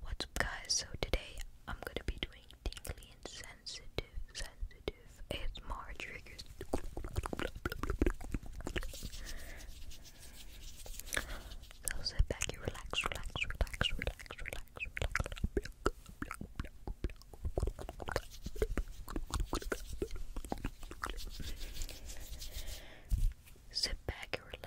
What's up, guys? So today I'm gonna be doing tingly and sensitive, sensitive more triggers. So sit back, you relax, relax, relax, relax, relax, relax. Sit back and relax.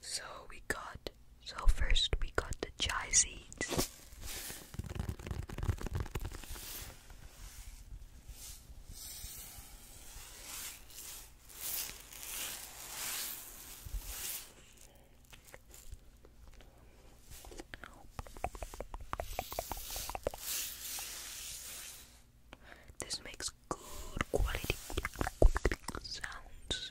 So we got, so first we got the chai seeds. This makes good quality sounds.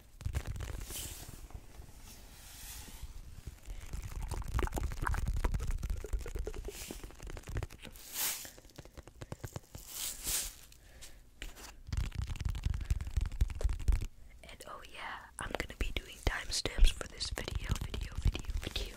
And oh yeah, I'm gonna be doing timestamps for this video, video, video, video.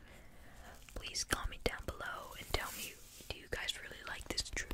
Please comment down below and tell me do you guys really like this trip?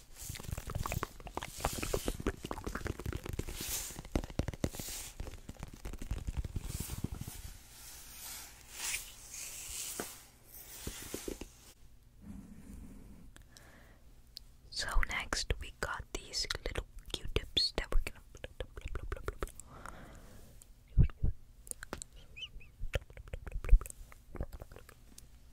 So next we got these little Q-tips that we're gonna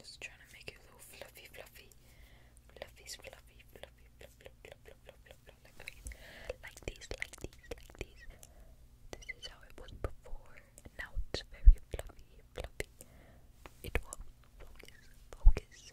Just trying to make it a fluffy, fluffy. fluffy, fluffy, fluffy, fluffy, fluffy, fluffy, fluffy, like these, like these, like these. This is how it was before, now it's very fluffy, fluffy. It will focus, focus.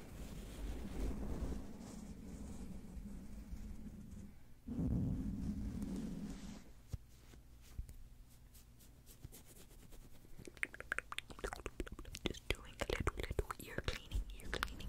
just doing a little, little ear cleaning, ear cleaning.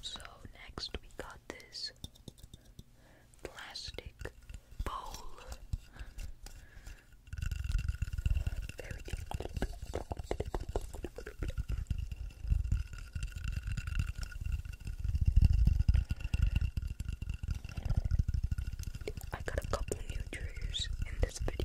So next we got this plastic bowl. Very deep. I got a couple new triggers in this video.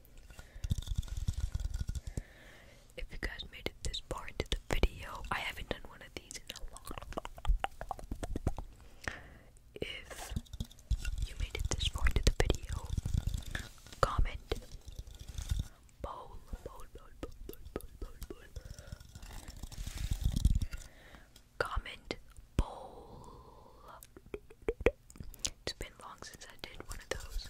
If you guys made it this far into the video, I haven't done one of these in a long If you made it this far into the video, comment bowl, bowl, bowl, bowl, bowl, bowl, bowl. Comment bowl. It's been long since I did one of those.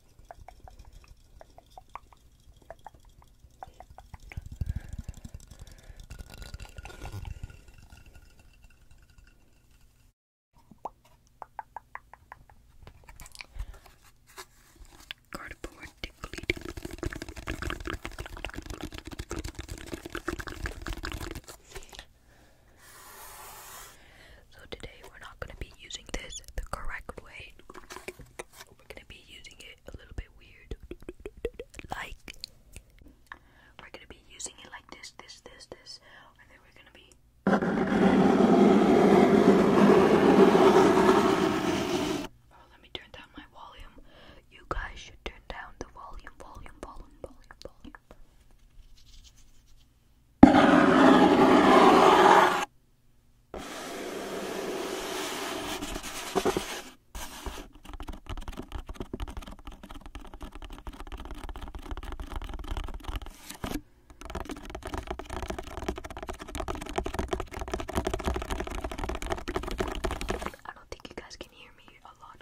Cardboard So today we're not going to be using this the correct way we're gonna be using it a little bit weird. Like, we're gonna be using it like this, this, this, this, and then we're gonna be. Oh, let me turn down my volume. You guys should turn down the volume, volume, volume, volume, volume. I don't think you guys can hear me a lot.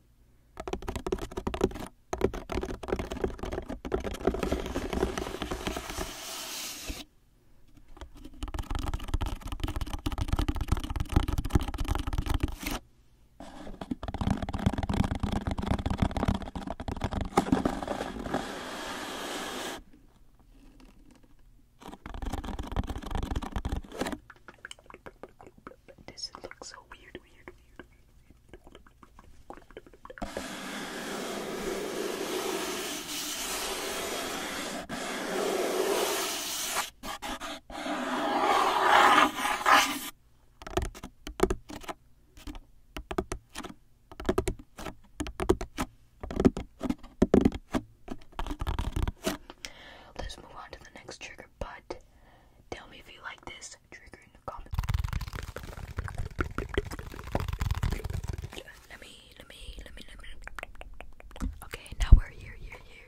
Does it look so weird, weird, Let's move on to the next trigger, but tell me if you like this this trigger in the comments. Let me, let me, let me, let me. Okay, now we're here, here, here.